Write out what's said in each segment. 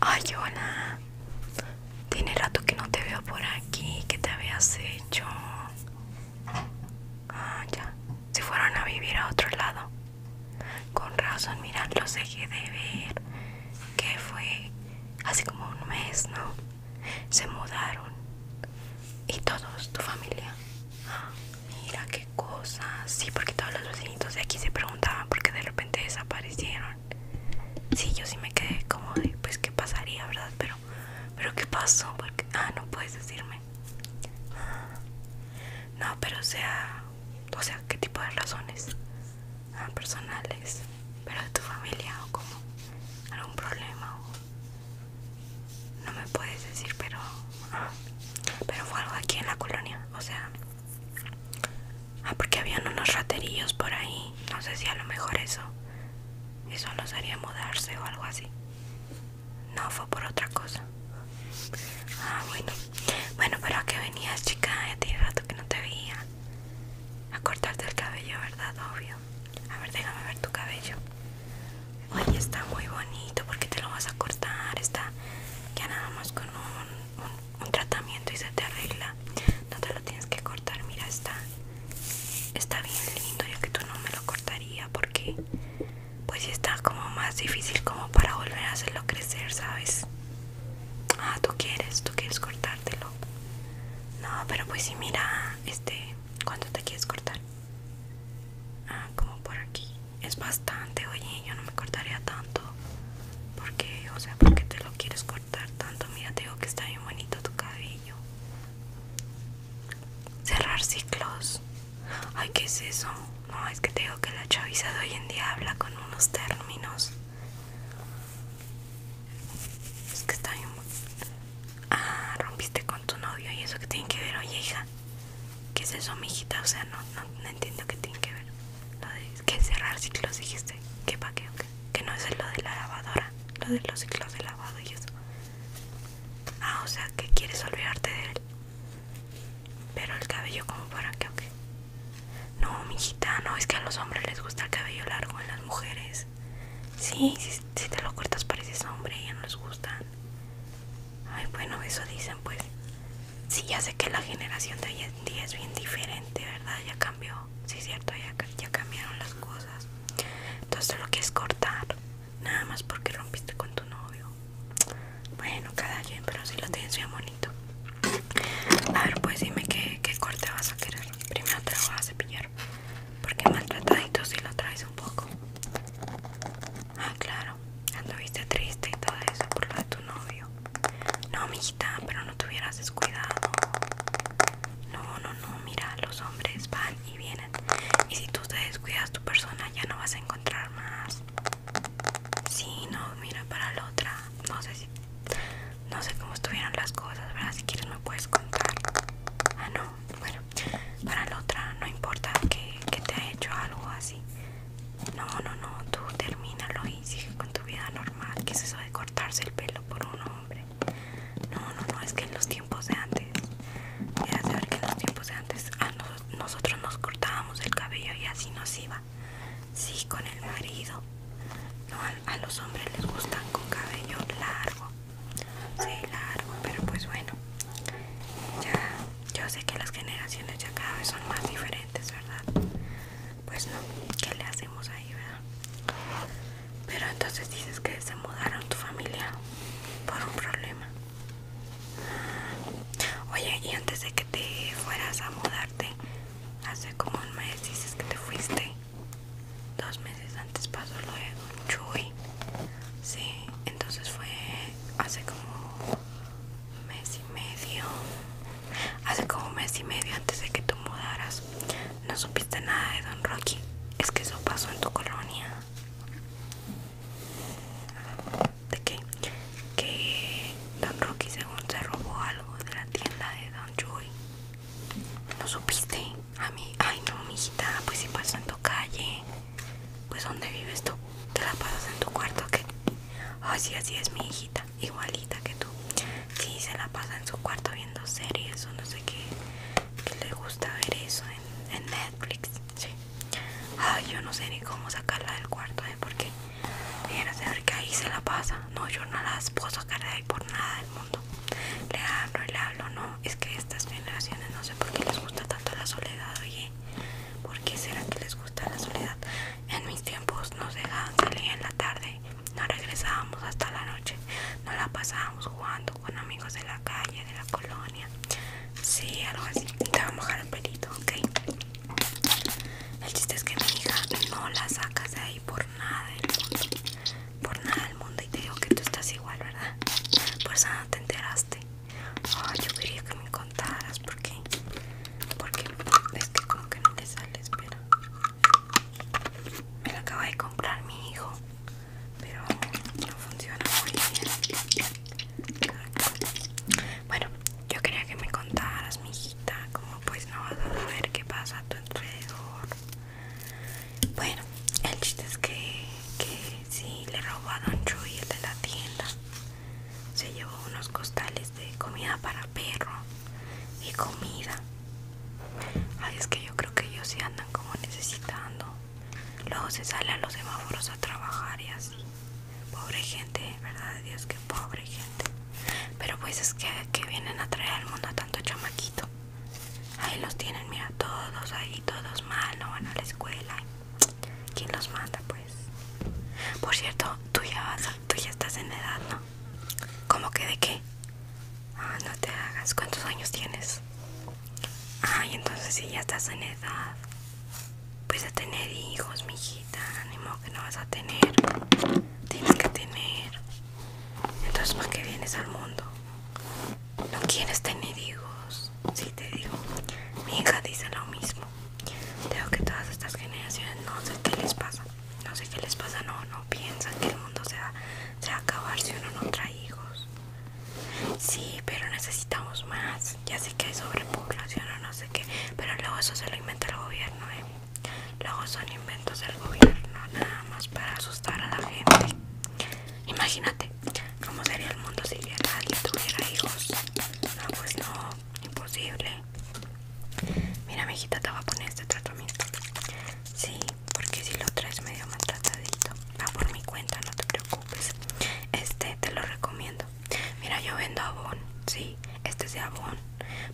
Ay, hola. Tiene rato que no te veo por aquí. ¿Qué te habías hecho? Ah, ya. Se fueron a vivir a otro lado. Con razón, lo los que de ver. Que fue hace como un mes, ¿no? Se mudaron. Y todos, tu familia. mira qué cosas Sí, porque todos los vecinitos de aquí se preguntaban porque de repente desaparecieron. Sí, yo sí me quedé como de, pues, ¿qué pasaría, verdad? Pero, ¿pero qué pasó? Porque, ah, no puedes decirme. No, pero o sea, o sea, ¿qué tipo de razones? Ah, personales, pero de tu familia o como algún problema No me puedes decir, pero... Ah, pero fue algo aquí en la colonia, o sea... Ah, porque habían unos raterillos por ahí. No sé si a lo mejor eso. Eso nos haría mudarse o algo así. No, fue por otra cosa. Ah, bueno. Bueno, pero ¿a qué venías, chica? Ya tiene rato que no te veía. A cortarte el cabello, ¿verdad? Obvio. A ver, déjame ver tu cabello. Oye, está muy bonito. ¿Por qué te lo vas a cortar? Está ya nada más con un un tratamiento y se te arregla. No te lo tienes que cortar. Mira, está, está bien lindo. Ya que tú no me lo cortaría porque, pues, está como más difícil como para volver a hacerlo crecer, ¿sabes? Ah, tú quieres, tú quieres cortártelo. No, pero pues si mira, este, ¿cuánto te quieres cortar? Ah, como por aquí. Es bastante, oye, yo no me cortaría tanto. ¿Por porque o sea porque te lo quieres cortar tanto mira te digo que está bien bonito tu cabello cerrar ciclos ay qué es eso no es que te digo que la chaviza de hoy en día habla con unos términos es que está bien ah rompiste con tu novio y eso que tiene que ver oye hija ¿Qué es eso, mijita? O sea, no, no, no entiendo qué tiene que ver que cerrar ciclos dijiste que pa' qué que no es lo de la lavadora lo de los ciclos de lavado y eso ah o sea que quieres olvidarte de él pero el cabello como para qué okay? no mijita no es que a los hombres les gusta el cabello largo en las mujeres sí si, te lo cortas pareces hombre y no les gustan ay bueno eso dicen pues Sí, ya sé que la generación de hoy es bien diferente, ¿verdad? Ya cambió, sí es cierto, ya, cambiaron las cosas. Entonces lo que es cortar, nada más porque rompiste con tu novio. Bueno, cada quien, pero si lo tienes bien bonito. A ver, pues dime qué, corte vas a querer. Primero te lo voy a cepillar, porque maltratadito si lo traes un poco. Ah, claro, anduviste triste y todo eso por lo de tu novio. No, mijita, pero no te hubieras descuidado. No, no, no, mira, los hombres van y vienen. Y si tú te descuidas tu persona, ya no vas a encontrar más. Sí, no, mira, para la otra. No sé si. No sé cómo estuvieron las cosas, ¿verdad? Si quieres me puedes contar. Ah, no. Bueno, para la otra no importa que, que te ha hecho algo así. No, no, no, tú termínalo y sigue con tu vida normal. que es eso de cortarse el pelo por un hombre? No, no, no, es que en los tiempos de antes, Fíjate ver que en los tiempos de antes nosotros nos cortábamos el cabello y así nos iba. Sí, con el marido. No, a, los hombres les gustan con cabello largo. Sí, largo, pero pues bueno. Ya, yo sé que las generaciones ya cada vez son más diferentes, ¿verdad? pues no, ¿qué le hacemos ahí, verdad? Pero entonces dices que se mudaron tu familia por un problema. Oye, y antes de que te fueras a mudarte, hace como un mes dices que te fuiste. Dos meses antes pasó lo de Chuy. Sí, entonces fue hace como un mes y medio. Hace como un mes y medio antes de que tú mudaras, no supiste nada de Don Rocky. Es que eso pasó en tu colonia. ¿De qué? Que Don Rocky según se robó algo de la tienda de Don Joy. ¿No supiste? A mí, ay no, mijita, pues si pasó en tu calle. Pues ¿dónde vives tú? Te la pasas en tu cuarto, ¿qué? Ay, sí, así es mi hijita igualita, que tú. Si se la pasa en su cuarto viendo series o no sé qué, que le gusta ver eso en, Netflix. Sí. Ay, yo no sé ni cómo sacarla del cuarto, ¿eh? Porque qué, saber que ahí se la pasa. No, yo no la puedo sacar de ahí por nada del mundo. Le hablo y le hablo, no. Es que estas generaciones no sé por qué les gusta tanto la soledad, oye. ¿Por qué será que les gusta la soledad? En mis tiempos nos dejaban salir en la tarde, no regresábamos hasta la noche, no la pasábamos jugando con amigos de la calle, de la colonia, sí, algo así. Te voy a mojar el pelito, ok. El chiste es que mi hija no la sacas de ahí por nada del mundo, por nada del mundo. Y te digo que tú estás igual, ¿verdad? Por eso no te enteraste. Ay, yo quería que me contaras por qué porque es que como que no te sale espera me lo acaba de comprar mi hijo pero no funciona muy bien bueno yo quería que me contaras mi hijita como pues no vas a saber qué pasa a tu alrededor bueno el chiste es que que sí le robaron a Don Chuy el de la tienda se llevó unos costales de comida para perro y comida. Ay, es que yo creo que ellos se andan como necesitando. Luego se sale a los semáforos a trabajar y así. Pobre gente, verdad de Dios, que pobre gente. Pero pues es que, vienen a traer al mundo a tanto chamaquito. Ahí los tienen, mira, todos ahí, todos mal, no van a la escuela. ¿Quién los manda, pues? Por cierto, tú ya vas, tú ya estás en edad, ¿no? ¿Cómo que de qué? Ah, no te hagas. ¿Cuántos años tienes? Ay, entonces si ya estás en edad. Pues a tener hijos, mijita. Ánimo que no vas a tener. Tienes que tener. Entonces, ¿para qué vienes al mundo? No quieres tener hijos. Sí, te digo. Mi hija dice lo mismo. Creo que todas estas generaciones no sé qué les pasa. No sé qué les pasa, no, no piensan que el mundo se va, a acabar si uno no trae hijos. Sí, pero necesitamos más. Ya sé que hay sobrepoblación o no sé qué, pero luego eso se lo inventa el gobierno, ¿eh? Luego son inventos del gobierno, nada más para asustar a la gente. Imagínate cómo sería el mundo si alguien tuviera hijos. No, pues no, imposible. Mira, mi hijita, te voy a poner este tratamiento. Sí, porque si lo traes medio maltratadito, va por mi cuenta, no te preocupes. Este te lo recomiendo. Mira, yo vendo abón, si este es de abón.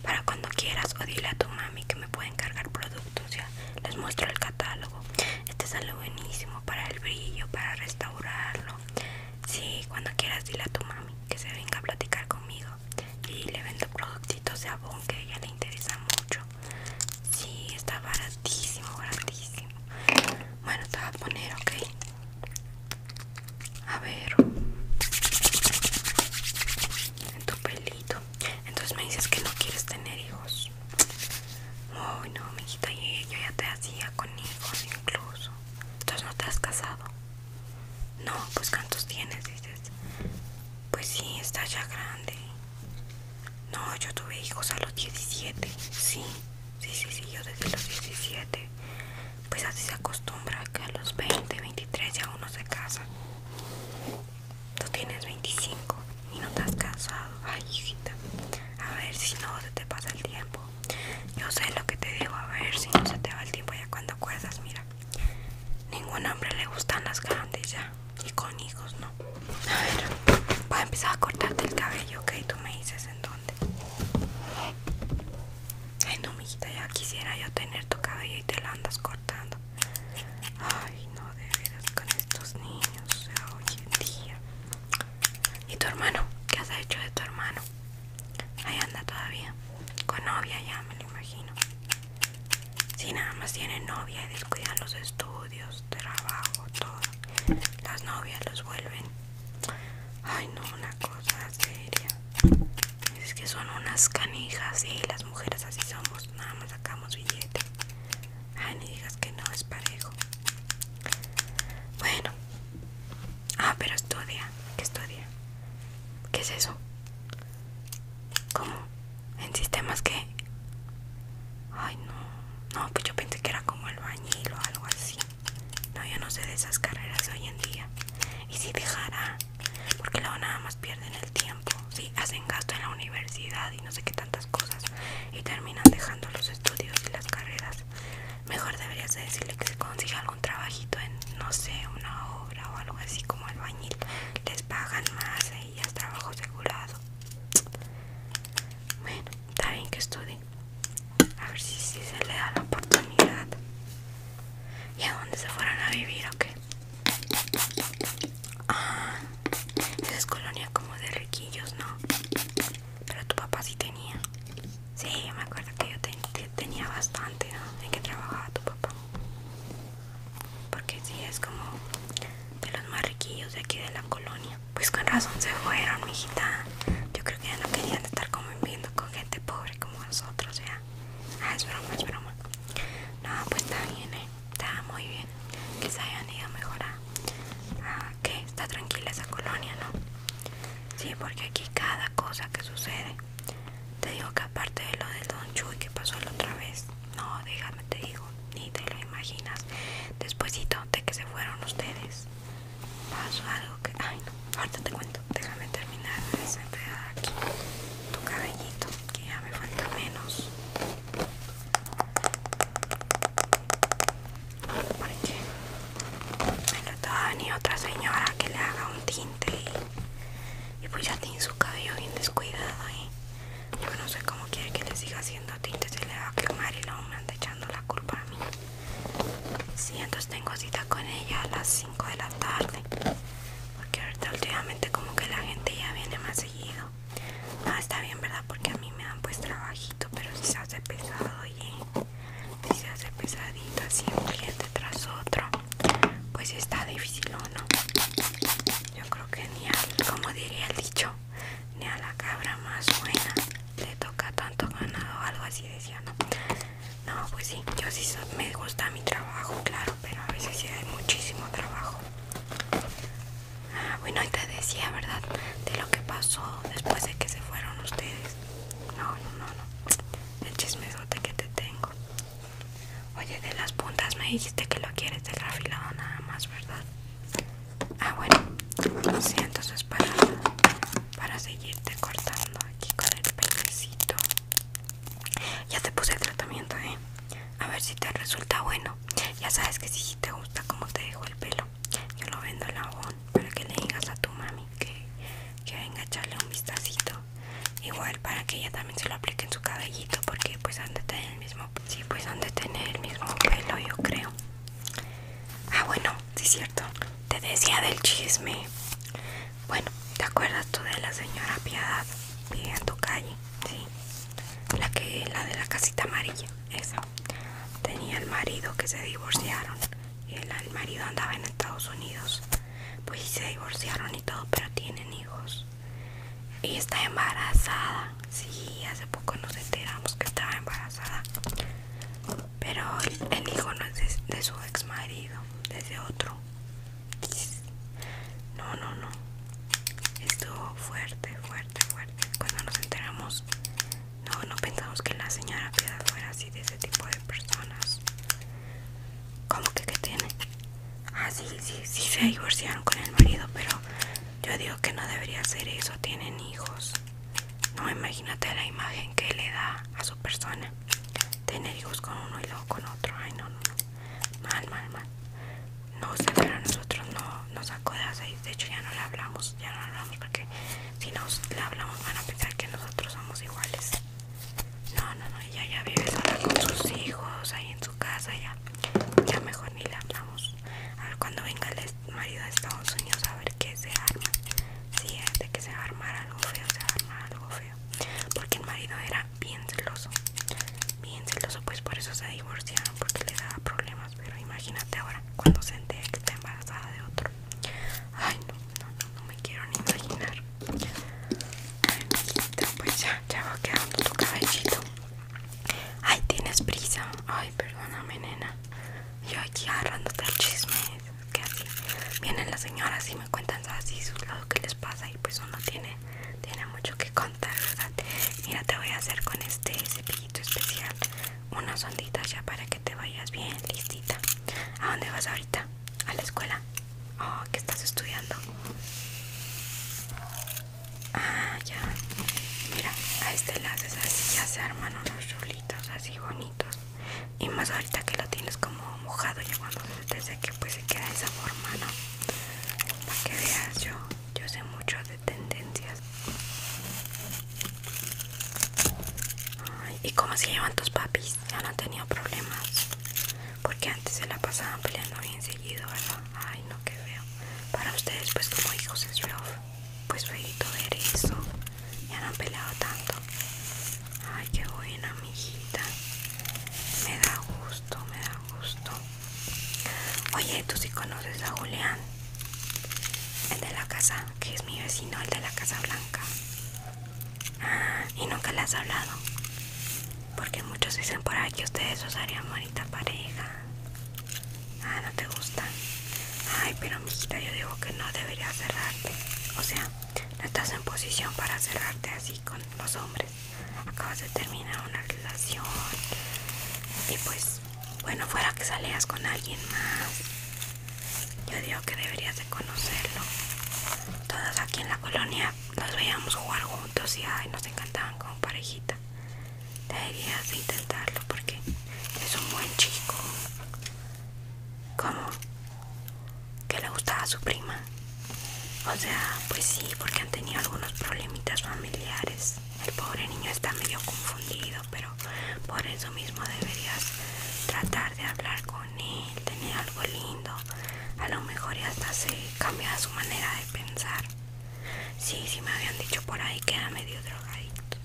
Para cuando quieras, o dile a tu mami que me puede encargar productos. Ya les muestro el catálogo. Este sale buenísimo para el brillo, para restaurarlo. si cuando quieras, dile a tu mami que se venga a platicar conmigo y le vendo productitos de abón que a ella le interesa mucho sí está baratísimo baratísimo bueno te voy a poner ok a ver en tu pelito entonces me dices que no quieres tener hijos Uy, no, mijita, y yo ya te hacía con hijos incluso. Entonces no te has casado. No, pues ¿cuántos tienes? Dices, pues sí, está ya grande. No, yo tuve hijos a los 17. Sí, sí, sí, yo desde los 17. Pues así se acostumbra que a los 20, 23 ya uno se casa. Tú tienes 25 y no te has casado. Ay, hijita. A ver si no se te pasa el tiempo. Yo sé lo que te digo, a ver si no se te va el tiempo ya cuando acuerdas, mira. Ningún hombre le gustan las grandes ya. Y con hijos, no. A ver, voy a empezar a cortarte el cabello, ok. Tú me dices en dónde. Ay, no, mijita, ya quisiera yo tener tu cabello y te lo andas cortando. Ay, no, de con estos niños, hoy en día. ¿Y tu hermano? ¿Qué has hecho de tu hermano? Ahí anda todavía. Con novia ya, me lo imagino. Si nada más tienen novia y descuidan los estudios, trabajo, todo. Las novias los vuelven. Ay, no, una cosa seria. Es que son unas canijas, Y las mujeres así somos, nada más sacamos billete. Ay, ni digas que no es parejo. Bueno, Ah, pero estudia. ¿Qué estudia? ¿Qué es eso? ¿Cómo? ¿En sistemas que. Ay, no. No, pues yo pensé que era como el bañil o algo así. No, yo no sé de esas carreras hoy en día. Y si dejará, porque luego nada más pierden el tiempo. Sí, hacen gasto en la universidad y no sé qué tantas cosas. Y terminan dejando los estudios y las carreras. Mejor deberías decirle que se consiga algún trabajito en, no sé, una o algo así como el bañil les pagan más Y es trabajo asegurado bueno está bien que estudie a ver si, se le da la oportunidad y a dónde se fueron a vivir o qué ah, es colonia como de riquillos no pero tu papá sí tenía Sí, me acuerdo que yo tenía bastante ¿no? en que trabajaba tu papá. Porque sí, es como de los más riquillos de aquí de la colonia. Pues con razón se fueron, mijita. Yo creo que ya no querían estar viviendo con gente pobre como nosotros, ya. Ah, es broma, es broma. No, pues está bien, eh. Está muy bien. Que se hayan ido mejor mejorar Ah, que está tranquila esa colonia, ¿no? Sí, porque aquí cada cosa que sucede te digo que aparte de lo del Don Chuy que pasó la otra vez, no, déjame te digo, ni te lo imaginas. Después de que se fueron ustedes, pasó algo que, ay no, ahorita te cuento. Déjame terminar de desenredar aquí tu cabellito, que ya me falta menos. Porque me lo ni otra señora que le haga un tinte y pues ya tiene su cabello bien descuidado ahí. Yo no sé cómo quiere que le siga haciendo tintes Y le va a quemar y luego me anda echando la culpa a mí. Sí, entonces tengo cita con ella a las 5 de la tarde. Porque ahorita últimamente como que la gente ya viene más seguido. No ah, está bien, ¿verdad? Porque a mí me dan pues trabajito, pero si se hace pesado, si se hace pesadito, así, un cliente tras otro pues está difícil o no yo creo que ni a, como diría el dicho ni a la cabra más buena le toca tanto ganado o algo así decía no no pues sí yo sí me gusta mi trabajo claro pero a veces sí hay muchísimo trabajo ah, bueno y te decía verdad de lo que pasó después de que se fueron ustedes no no no no el chisme es que te tengo. Oye, de las puntas me dijiste que lo quieres desafilado nada más, ¿verdad? Ah, bueno. Sí, entonces para, para seguirte cortando aquí con el peinecito. Ya te puse el tratamiento, ¿eh? A ver si te resulta bueno. Ya sabes que si te gusta como te dejo el pelo, yo lo vendo en la para que le digas a tu mami que, venga a echarle un vistacito igual para que ella también se lo aplique en su cabellito porque pues han de tener el mismo pues han tener el mismo pelo yo creo ah bueno si es cierto te decía del chisme bueno te acuerdas tú de la señora piedad vive en tu calle sí la que la de la casita amarilla esa tenía el marido que se divorciaron y el marido andaba en Estados Unidos pues se divorciaron y todo, pero tienen hijos. Y está embarazada. Sí, hace poco nos enteramos que estaba embarazada. Pero el, hijo no es de, su ex marido, es de otro. No, no, no. Estuvo fuerte, fuerte, fuerte. Cuando nos enteramos, no, no pensamos que la señora Piedad fuera así de ese tipo de personas. ¿Cómo que qué tiene? Ah, sí, sí, sí se divorciaron con el marido, pero yo digo que no debería ser eso. Tienen hijos. No, imagínate la imagen que le da a su persona. Tener hijos con uno y luego con otro. Ay, no, no, no. Mal, mal, mal. No sé, pero nosotros no nos de ahí. De hecho, ya no la hablamos. Ya no hablamos porque si nos la hablamos van a pensar que nosotros somos iguales. No, no, no, ella ya vive sola con sus hijos ahí en su casa ya. Ya mejor ni le hablamos. A ver cuando venga el marido de Estados Unidos a ver qué se arma. Sí, eh, que se va a armar algo feo, se va a armar algo feo. Porque el marido era bien celoso. Bien celoso, pues por eso se divorciaron, porque le daba problemas. Pero imagínate ahora cuando se entere que está embarazada de otro. Ay no, no, no, me quiero ni imaginar. Ay, pues ya, ya va quedando tu cabellito. Ay, tienes prisa. Ay, perdóname, nena. Yo aquí agarrando el chisme. Que así vienen las señoras y me cuentan así lado que les pasa. Y pues uno tiene, tiene mucho que contar, ¿verdad? Mira, te voy a hacer con este cepillito especial unas onditas ya para que te vayas bien listita. ¿A dónde vas ahorita? ¿A la escuela? Oh, ¿qué estás estudiando? Ah, ya. Mira, a este le así, ya se arman unos chulitos así bonitos. Y más ahorita que lo tienes como mojado, ya desde que pues se queda esa forma, ¿no? Para que veas, yo, yo sé mucho de tendencias. ¿Y cómo se llevan tus papis? ya no han tenido problemas porque antes se la pasaban peleando bien seguido verdad ay no que veo. para ustedes pues como hijos es feo pues feito ver eso ya no han peleado tanto ay qué buena mijita me da gusto me da gusto oye tú sí conoces a Julián el de la casa que es mi vecino el de la casa blanca y nunca le has hablado. Porque muchos dicen por ahí que ustedes os harían bonita pareja. Ah, no te gusta. Ay, pero mijita, yo digo que no deberías cerrarte. O sea, no estás en posición para cerrarte así con los hombres. Acabas de terminar una relación. Y pues, bueno, fuera que salías con alguien más. Yo digo que deberías de conocerlo. Todos aquí en la colonia nos veíamos jugar juntos y nos encantaban como parejita. Deberías de intentarlo porque es un buen chico. como Que le gustaba a su prima. O sea, pues sí, porque han tenido algunos problemitas familiares. El pobre niño está medio confundido, pero por eso mismo deberías tratar de hablar con él, tener algo lindo, a lo mejor ya hasta se cambia su manera de pensar. Sí, sí me habían dicho por ahí que era medio drogadito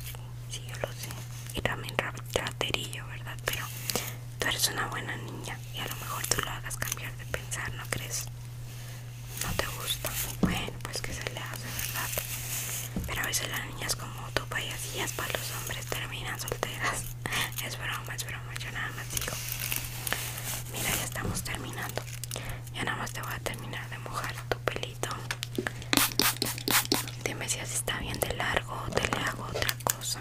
Sí, yo lo sé. Y también raterillo, ¿verdad? Pero tú eres una buena niña y a lo mejor tú lo hagas cambiar de pensar, ¿no crees? No te gusta. Bueno, pues que se le hace, ¿verdad? Pero a veces las niñas como tú, payasillas, para los hombres terminan solteras. es broma, es broma, yo nada más digo Mira, ya estamos terminando Ya nada más te voy a terminar de mojar tu pelito Dime si así está bien de largo o te le hago otra cosa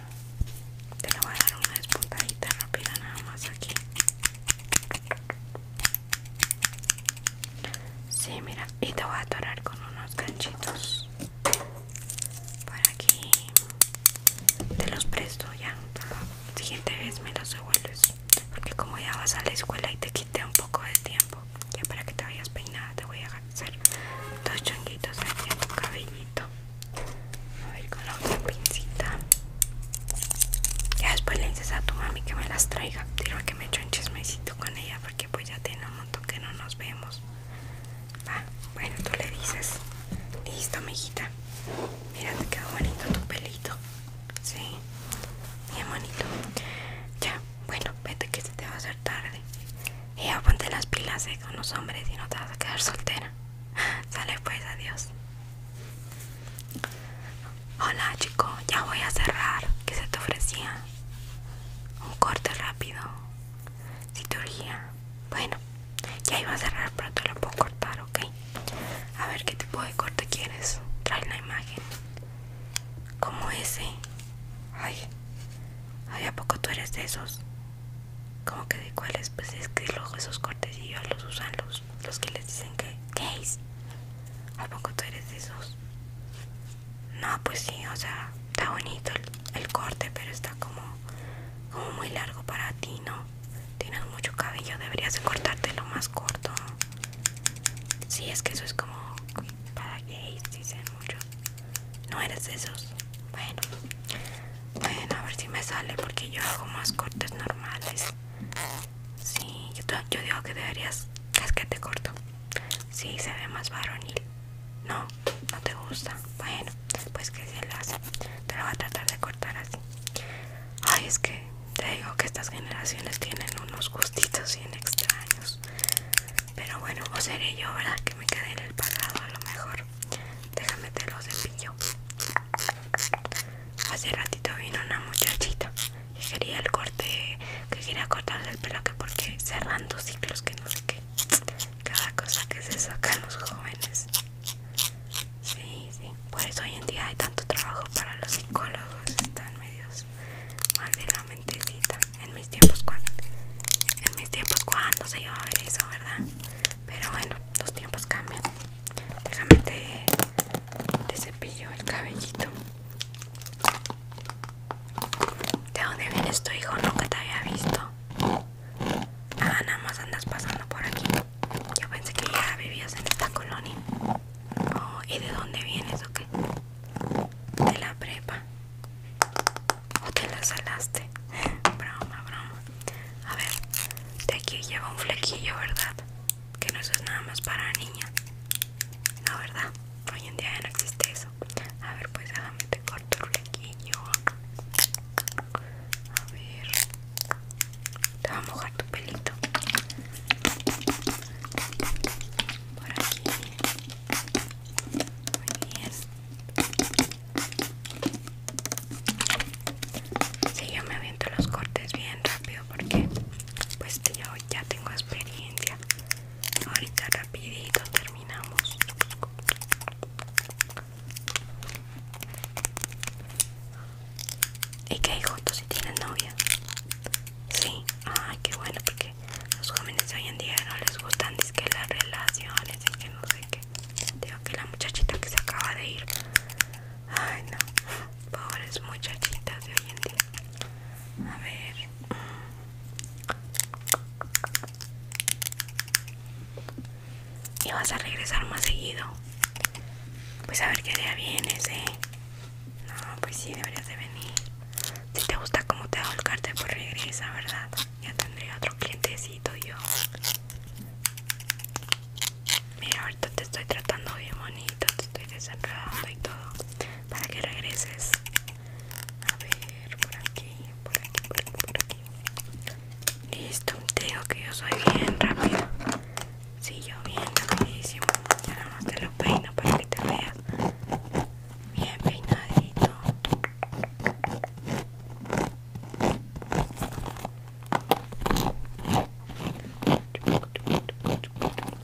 Te le voy a dar una despuntadita rápida nada más aquí Sí, mira, y te voy a atorar con unos ganchitos por aquí te los presto ya la siguiente vez me los devuelves porque como ya vas a la escuela y te quité un poco de tiempo ya para que te vayas peinada te voy a hacer dos chonguitos aquí en tu cabellito a ver con la otra pincita ya después le dices a tu mami que me las traiga quiero que me echo un chismecito con ella porque pues ya tiene un montón que no nos vemos Ah, bueno, tú le dices. Listo, mijita. Mira, te quedó bonito tu pelito. Sí, bien bonito. Ya, bueno, vete que se te va a hacer tarde. Y ya ponte las pilas eh, con los hombres y no te vas a quedar soltera. Sale pues, adiós. Hola chico, ya voy a cerrar. Que se te ofrecía? Un corte rápido si Bueno, ya iba a cerrar, pero te lo puedo cortar, ok. A ver qué tipo de corte quieres. Trae la imagen. Como ese. Ay, ay, ¿a poco tú eres de esos? Como que de cuáles, pues es que los esos cortes y yo los usan los, los que les dicen que es ¿A poco tú eres de esos? No, pues sí, o sea, está bonito el corte, pero está como como muy largo para ti, ¿no? Tienes mucho cabello, deberías cortarte cortártelo más corto. Sí, es que eso es como para gays, dicen muchos No eres de esos. Bueno, bueno, a ver si me sale porque yo hago más cortes normales. Sí, yo, digo que deberías casquete corto. Sí, se ve más varonil. No, no te gusta. Bueno, pues que se lo hace. Te lo va a tratar de cortar así. Ay, es que te digo que estas generaciones tienen unos gustitos bien extraños. Pero bueno, o seré yo, ¿verdad? Que me quedé en el pasado a lo mejor. Déjame te los cepillo. Hace ratito vino una muchachita que quería el corte, que quería cortarle el pelo que porque cerrando ciclos que no sé qué cada cosa que se saca en los jóvenes. Sí, sí. Por eso hoy en día hay tanto trabajo para los psicólogos. Están medios mal de la mentecita. En mis tiempos cuando en mis tiempos cuando se iba a ver eso, ¿verdad? Pero bueno, los tiempos cambian. Déjame te, te cepillo el cabellito. ¿De dónde vienes tu hijo? Nunca te había visto. Ah, nada más andas pasando por aquí. Yo pensé que ya vivías en esta colonia. Oh, ¿y de dónde vienes o qué? De la prepa. ¿O te la salaste? broma, broma. A ver, de aquí lleva un flequillo, ¿verdad? Que no eso es nada más para niña. No, ¿verdad? Hoy en día ya no existe eso. A ver, pues déjame este corto el A ver. Te va a mojar tu pelito. Por aquí. Muy bien. Si yo me aviento los cortes bien rápido porque pues yo ya tengo experiencia. Ahorita rapidito terminamos. ¿Y qué hay juntos si tienes novia? Sí, ay, qué bueno, porque los jóvenes de hoy en día no les gustan, es que las relaciones, y que no sé qué. Digo que la muchachita que se acaba de ir, ay, no, pobres muchachitas de hoy en día. A ver y vas a regresar más seguido. Pues a ver qué día vienes, eh. No, pues sí, deberías de venir. Si te gusta cómo te hago el cartel, pues regresa, ¿verdad? Ya tendré otro clientecito yo. Mira, ahorita te estoy tratando bien bonito, te estoy desenredando y todo. Para que regreses. A ver, por aquí, por aquí, por aquí, por aquí. Listo, te digo que yo soy bien rápido si yo bien rapidísimo. Ya nada más te lo peino para que te veas. Bien peinadito.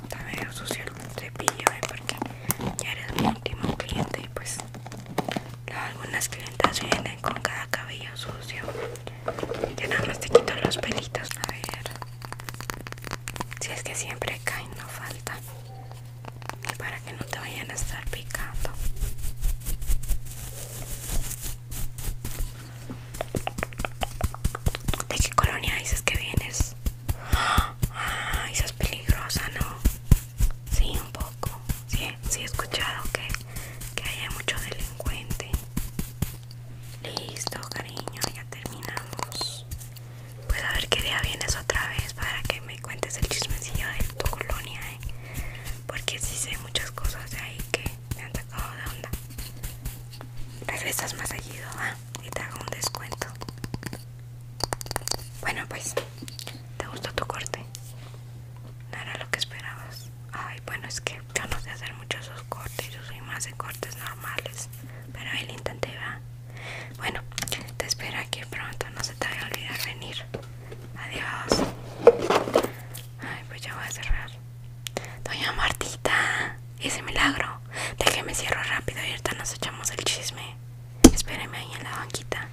Te medio cepillo, eh, porque ya eres mi último cliente y pues algunas clientas vienen con cada cabello sucio. Yo nada más te quito los pelitos. A ver. Si es que siempre caen, no falta. Para que no te vayan a estar picando. ¿De qué colonia dices que vienes? Ay, ah, es peligrosa, ¿no? Sí, un poco. Sí, sí he escuchado que, que hay mucho delincuente. Listo, cariño, ya terminamos. Pues a ver qué día vienes otra vez para que me cuentes el chismecillo de tu colonia, ¿eh? Porque sí sé muchas cosas de ahí que me han sacado de onda. Regresas más seguido, ¿ah? Y te hago un descuento. Bueno, pues, ¿te gustó tu corte? No era lo que esperabas. Ay, bueno, es que yo no sé hacer muchos esos cortes. Yo soy más de cortes normales. Pero él intenté, va. Bueno, te espero aquí pronto. No se te vaya a olvidar venir. Adiós. Ay, pues ya voy a cerrar. Doña Martita, ese milagro. Déjeme cierro rápido y ahorita nos echamos el chisme. Espéreme ahí en la banquita.